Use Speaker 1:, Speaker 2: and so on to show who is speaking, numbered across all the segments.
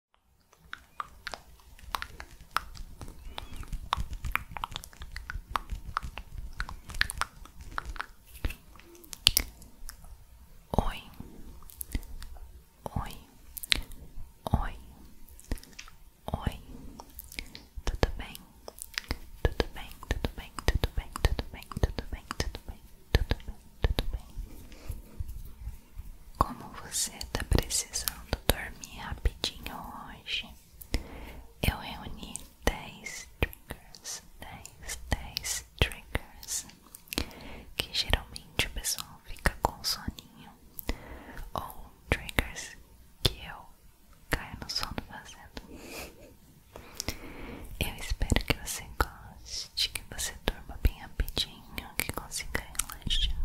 Speaker 1: Oi, oi, oi, oi, tudo bem, tudo bem, tudo bem, tudo bem, tudo bem, tudo bem, tudo bem, tudo bem, tudo bem. Como você está precisando dormir rapidinho hoje, eu reuni 10 triggers, 10, 10 triggers, que geralmente o pessoal fica com soninho, ou triggers que eu caio no sono fazendo. Eu espero que você goste, que você durma bem rapidinho que consiga relaxar,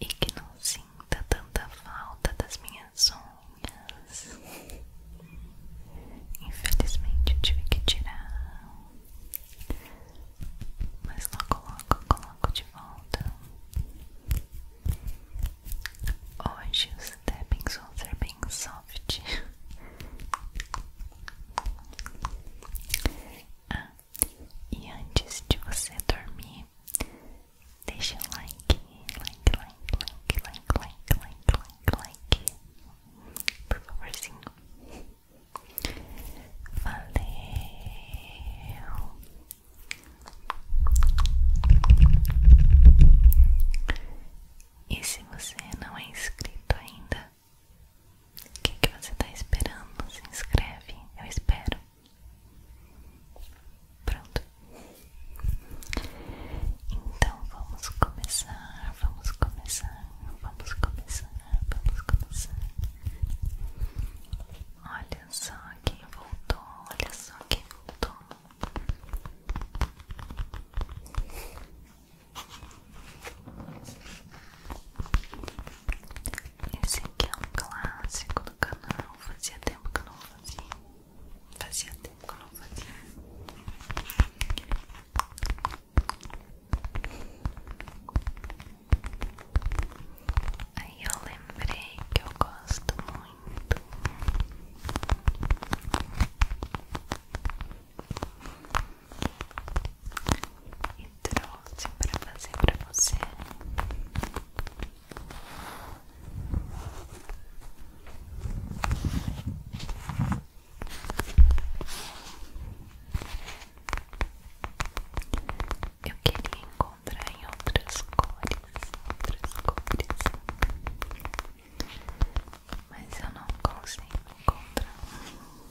Speaker 1: e que não sinta tanta falta das minhas unhas. Infelizmente eu tive que tirar, mas logo logo coloco de volta. Hoje os tappings vão ser bem soft Ah, e antes de você dormir, deixa like, like, like, like, like, like, like, like, like, por favorzinho. Valeu. E se você não é inscrito ainda, o que, você está esperando? Se inscreve, eu espero. Pronto. Então vamos começar, vamos começar, vamos começar, vamos começar. Olha só quem voltou, olha só quem voltou. Esse aqui é um clássico do canal. Fazia tempo que eu não fazia. Fazia tempo que eu não fazia. Aí eu lembrei que eu gosto muito e trouxe para fazer para você. Eu queria encontrar em outras cores, outras cores, mas eu não consigo encontrar.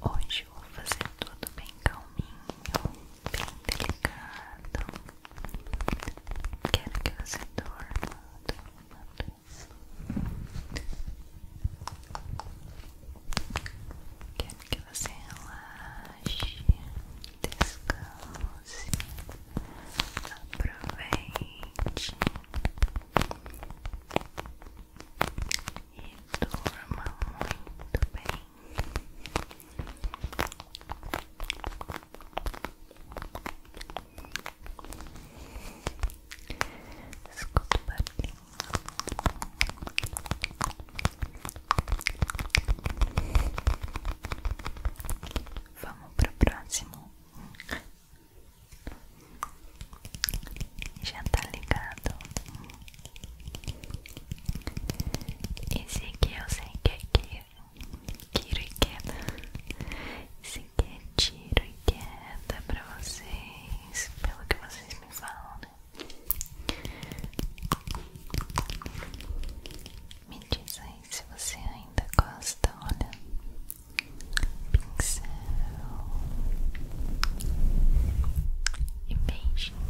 Speaker 1: Hoje eu vou fazer tudo bem calminho, bem delicado. Quero que você dorma, dorma. Quero que você relaxe, descanse, aproveite. E durma muito bem. Escuta bem barulhinho. Vamos pro próximo. Já tá ligado? Esse aqui eu sei que é tiro e queda. Esse aqui é tiro e queda pra vocês, pelo que vocês me falam, né? Me diz aí se você ainda gosta, olha, pincel e beijinhos.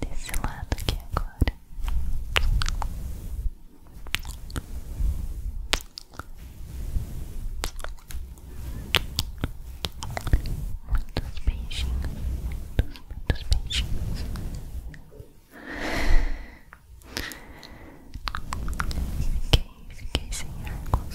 Speaker 1: Desse lado aqui agora. Desse lado Muitos beijinhos, muitos, muitos beijinhos. Fiquei, fiquei sem ar mas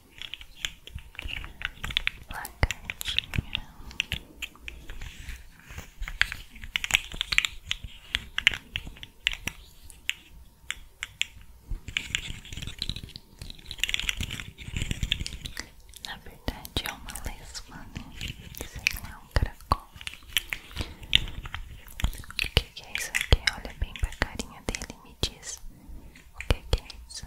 Speaker 1: lagartinha na verdade é uma lesma, né? Sei lá, um caracol O que, é isso aqui? Olha bem pra carinha dele e me diz O que é isso?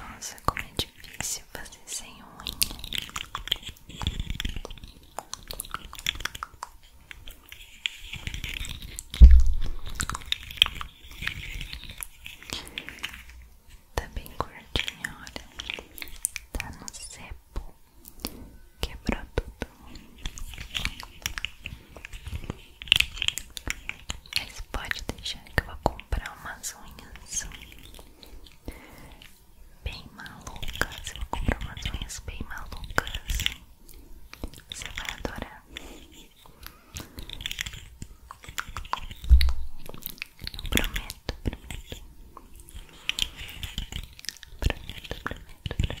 Speaker 1: Nossa, como é difícil fazer sem unha. Tá bem curtinha, olha. Tá no cepo. Quebrou tudo. Mas pode deixar que eu vou comprar umas unhas bem malucas. Eu vou comprar umas unhas bem malucas. Você vai adorar. Eu prometo, prometo. Prometo, prometo, prometo.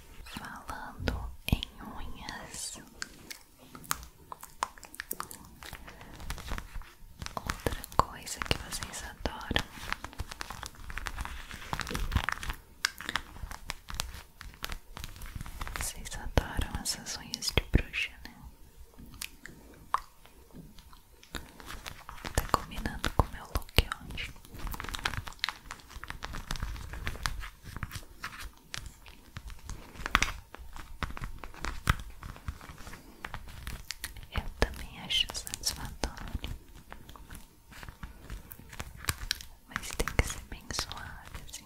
Speaker 1: Falando em unhas, outra coisa que vocês adoram vocês adoram essas unhas de bruxa, né? Tá combinando com o meu look hoje. Eu também acho satisfatório, mas tem que ser bem suave, assim,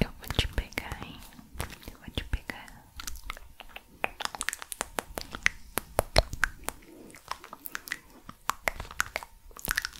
Speaker 1: Eu vou te pegar, hein? Eu vou te pegar.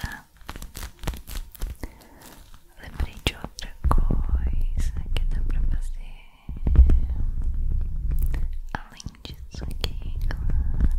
Speaker 1: Ah, lembrei de outra coisa que dá pra fazer. Além disso, aqui, claro.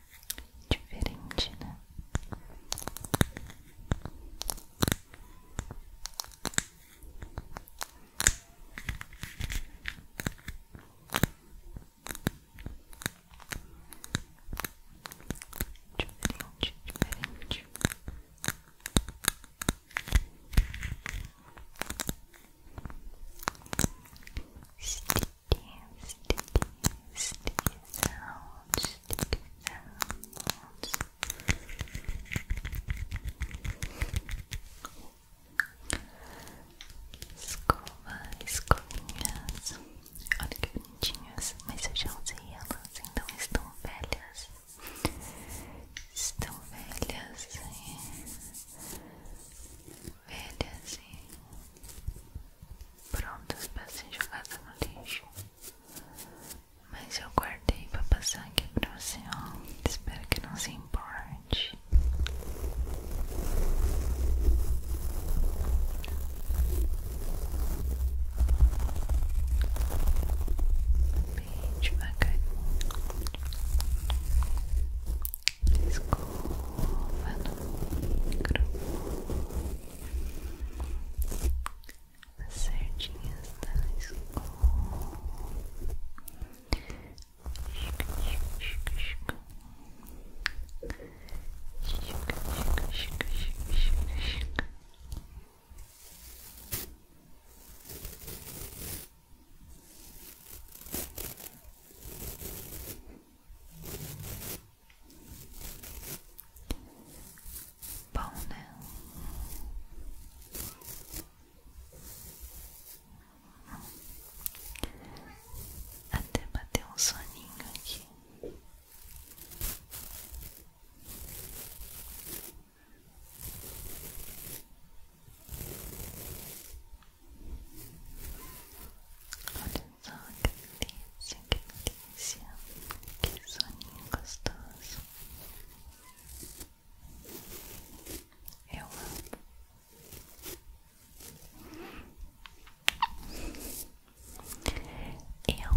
Speaker 1: Diferente, né? Diferente, diferente. sticky, sticky sounds, sticky sounds. Escovas, escovinhas. Olha que bonitinhas, mas eu já usei elas, então estão velhas. Estão velhas e velhas prontas para ser jogadas no lixo. Mas eu guardei para passar aqui para você, ó. Espero que não se importe. Bem devagarinho. Escova no microfone as certinhas da escola. Bom, né? Até bater um soninho aqui só, que delícia, que delícia, que Eu amo. Eu amo. Eu amo.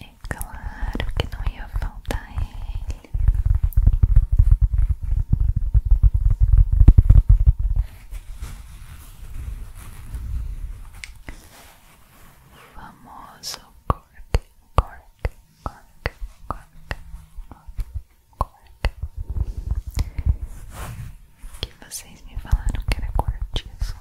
Speaker 1: É claro que não ia faltar ele. O famoso cork, cork, cork, cork, cork, cork. Que vocês me falaram que era cortiço.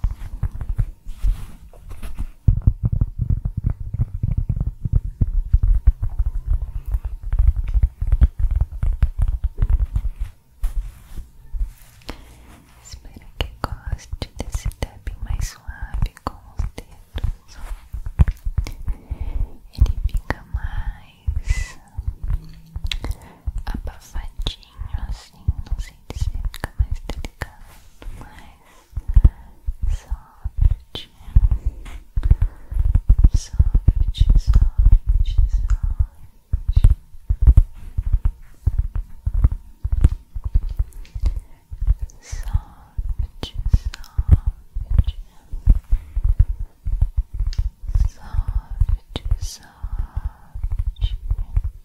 Speaker 1: Espero que goste desse tapping mais suave com os dedos. Ele fica mais abafadinho pouquinho assim, não sei se fica mais delicado, mas soft, soft, soft, soft. Soft, soft, soft, soft.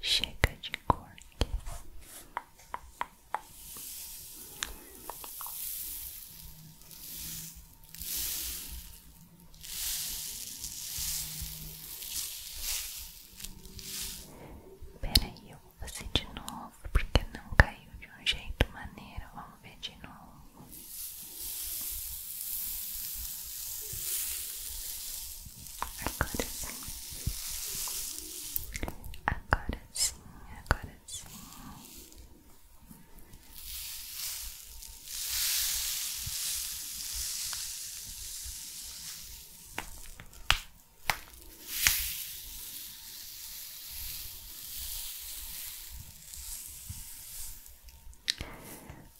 Speaker 1: Chega de cor. Peraí, eu assim de novo, porque não caiu de um jeito maneiro. Vamos ver de novo. Agora sim. Agora sim, agora sim.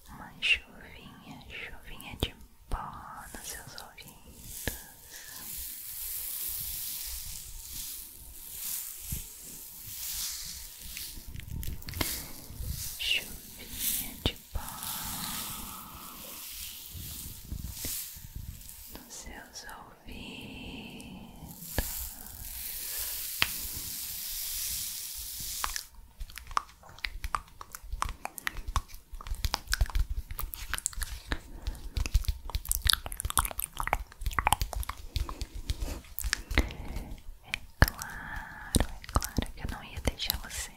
Speaker 1: Uma chuvinha, chuvinha de pó nos seus ouvidos. Chuvinha de pó nos seus ouvidos. É claro, é claro que eu não ia deixar você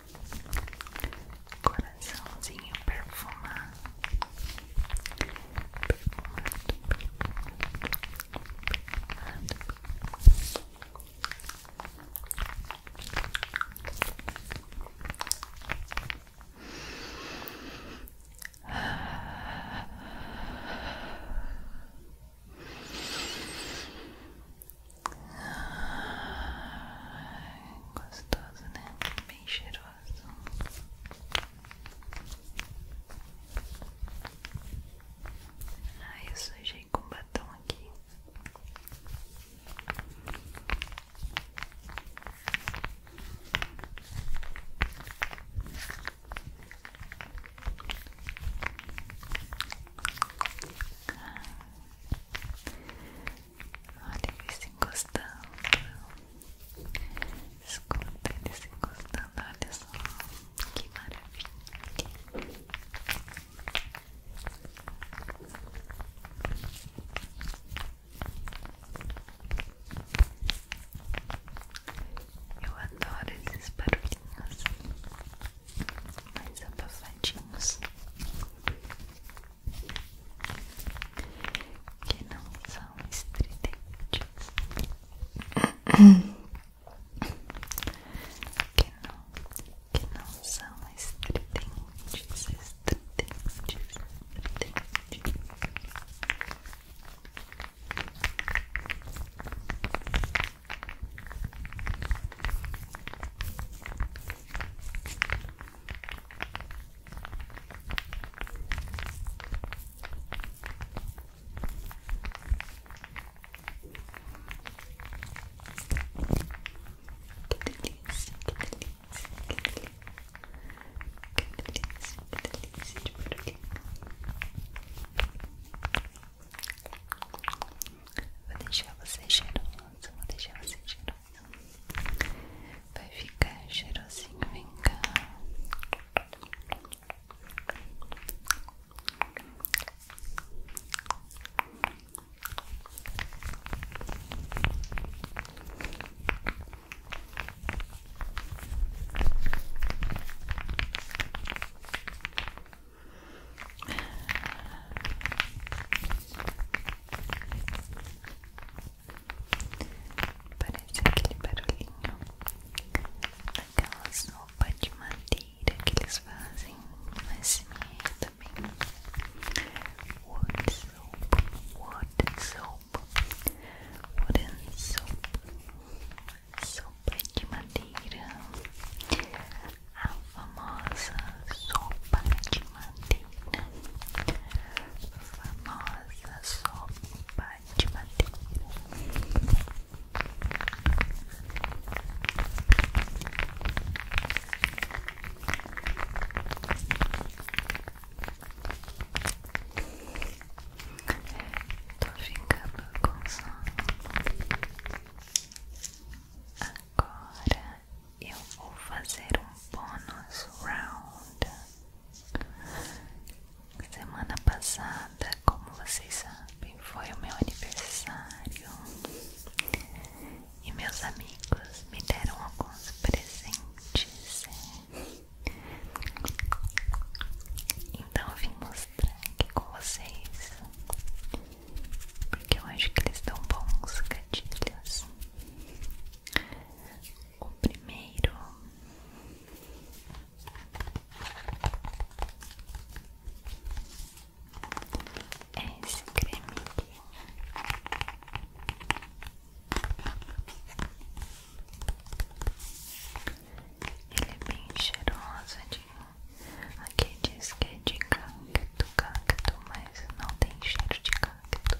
Speaker 1: coraçãozinho perfumar gostoso, né? Bem cheiroso. Ai, ah, eu sujei com batom aqui. Olha ele se encostando. Escuta ele se encostando. Olha só que maravilha. Eu adoro esses barulhinhos mais abafadinhos. É que não são estridentes, que não, que não são estridentes, estridentes, estridentes delícia, que delícia, que delícia. Que delícia, que delícia de barulhinho. Vou deixar você cheiroso, vou deixar você cheiroso. Vai ficar cheirosinho, vem cá. Parece aquele barulhinho daquela sopa de madeira que eles fazem no SMR também. Wood soap, wood soap, wooden soap, sopa de madeira. A famosa sopa de madeira, a famosa sopa de madeira. Tô ficando com sono. eu vou fazer um bônus round. Semana passada, como vocês sabem, foi o meu aniversário e meus amigos me deram alguns presentes. Então eu vim mostrar aqui com vocês, porque eu acho que eles estão bons gatilhos o primeiro é esse creme Ele é bem cheiroso, de... aqui diz que é de cacto, cacto, mas não tem cheiro de cacto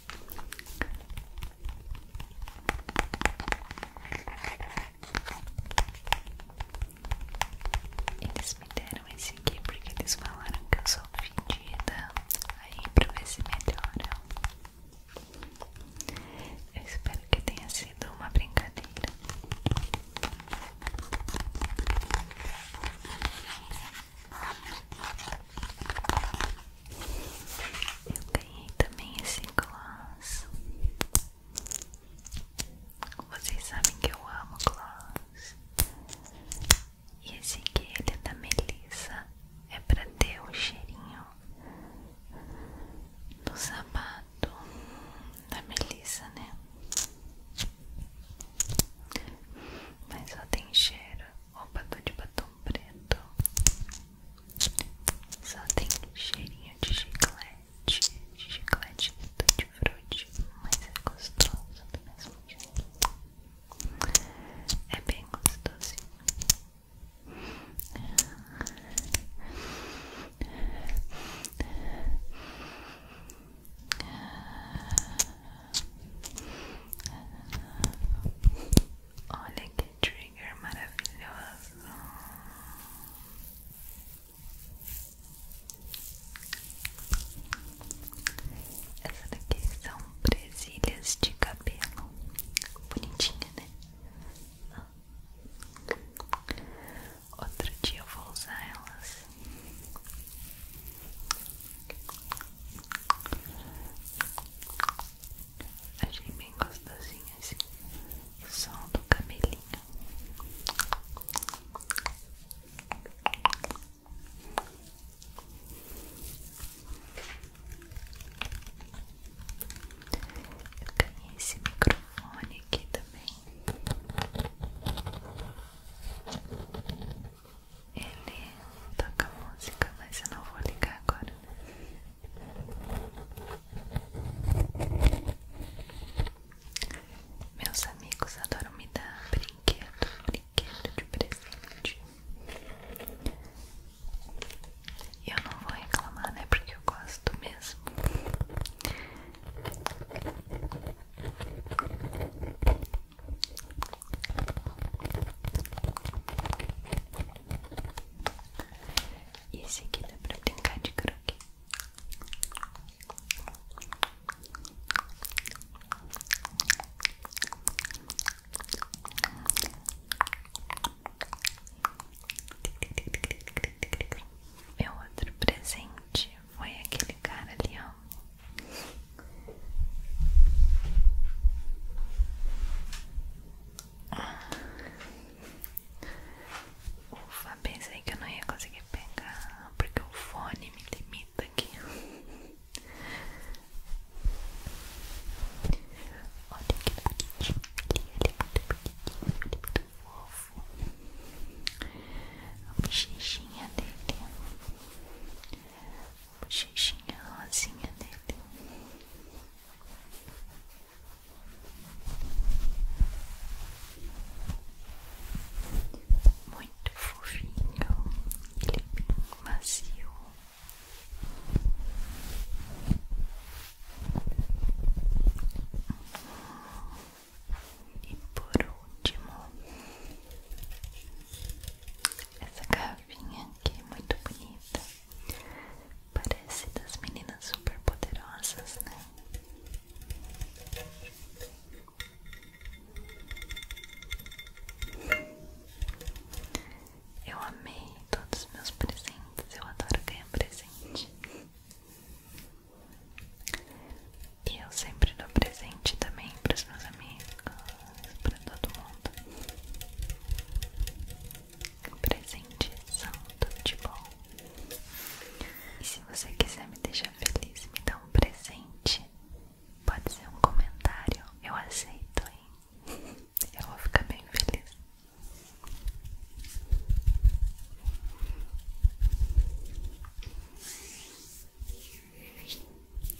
Speaker 1: Eles me deram esse aqui porque eles falaram que eu sou ofendida. Aí pra ver se melhora. Eu espero que tenha sido uma brincadeira. Eu ganhei também esse gloss. Vocês sabem que eu amo gloss. E esse aqui ele é da Melissa. É pra ter o cheirinho do sapato da Melissa, né? Mas só tem cheiro. Opa, tô de batom preto só tem cheirinho de chiclete, de chiclete de tutti mas é gostoso do mesmo jeito. É bem gostosinho. Olha que trigger maravilhoso. Essa daqui são presilhas de cabelo. Bonitinha, né? Ah. Outro dia eu vou usar elas. Achei bem gostosinho esse som do camelinho Eu ganhei esse microfone aqui também. Ele toca música, mas eu não vou ligar agora. Meus amigos adoram me dar brinquedo, brinquedo de presente. E eu não vou reclamar, né? Porque eu gosto mesmo. E esse aqui dá pra brincar de croque. Meu outro presente foi aquele cara ali, ó. Ufa, pensei que eu não ia conseguir pegar porque o fone me limita aqui. Olha que bonitinho, ele é muito bonitinho, é fofo. A bochechinha dele, a bochechinha rosinha dele. Muito fofinho, ele é macio. E por último, essa garrafinha aqui é muito bonita. Parece das meninas super poderosas, né? Eu amei todos os meus presentes, eu adoro ganhar presente. E eu sempre dou presente também para os meus amigos, para todo mundo presentezão, tudo de bom. E se você quiser me deixar feliz, me dá um presente. Pode ser um comentário, eu aceito, hein? Eu vou ficar bem feliz.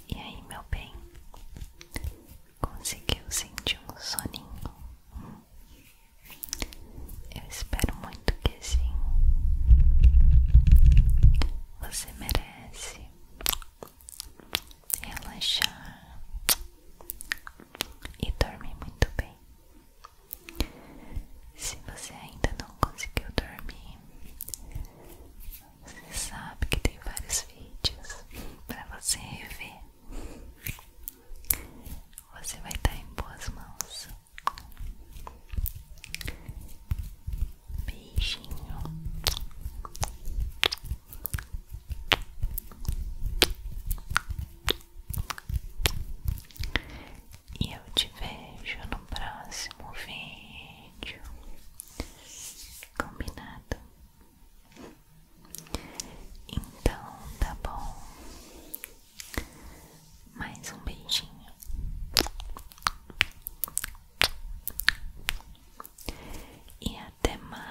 Speaker 1: E aí, meu bem? Conseguiu sentir um soninho? Eu espero muito que sim. Você merece relaxar e dormir muito bem. Se você ainda não conseguiu dormir, você sabe que tem vários vídeos para você rever você vai estar em boas mãos. Beijinho. E eu te vejo no próximo vídeo. Combinado? Então, tá bom. Mais um beijinho. E até mais.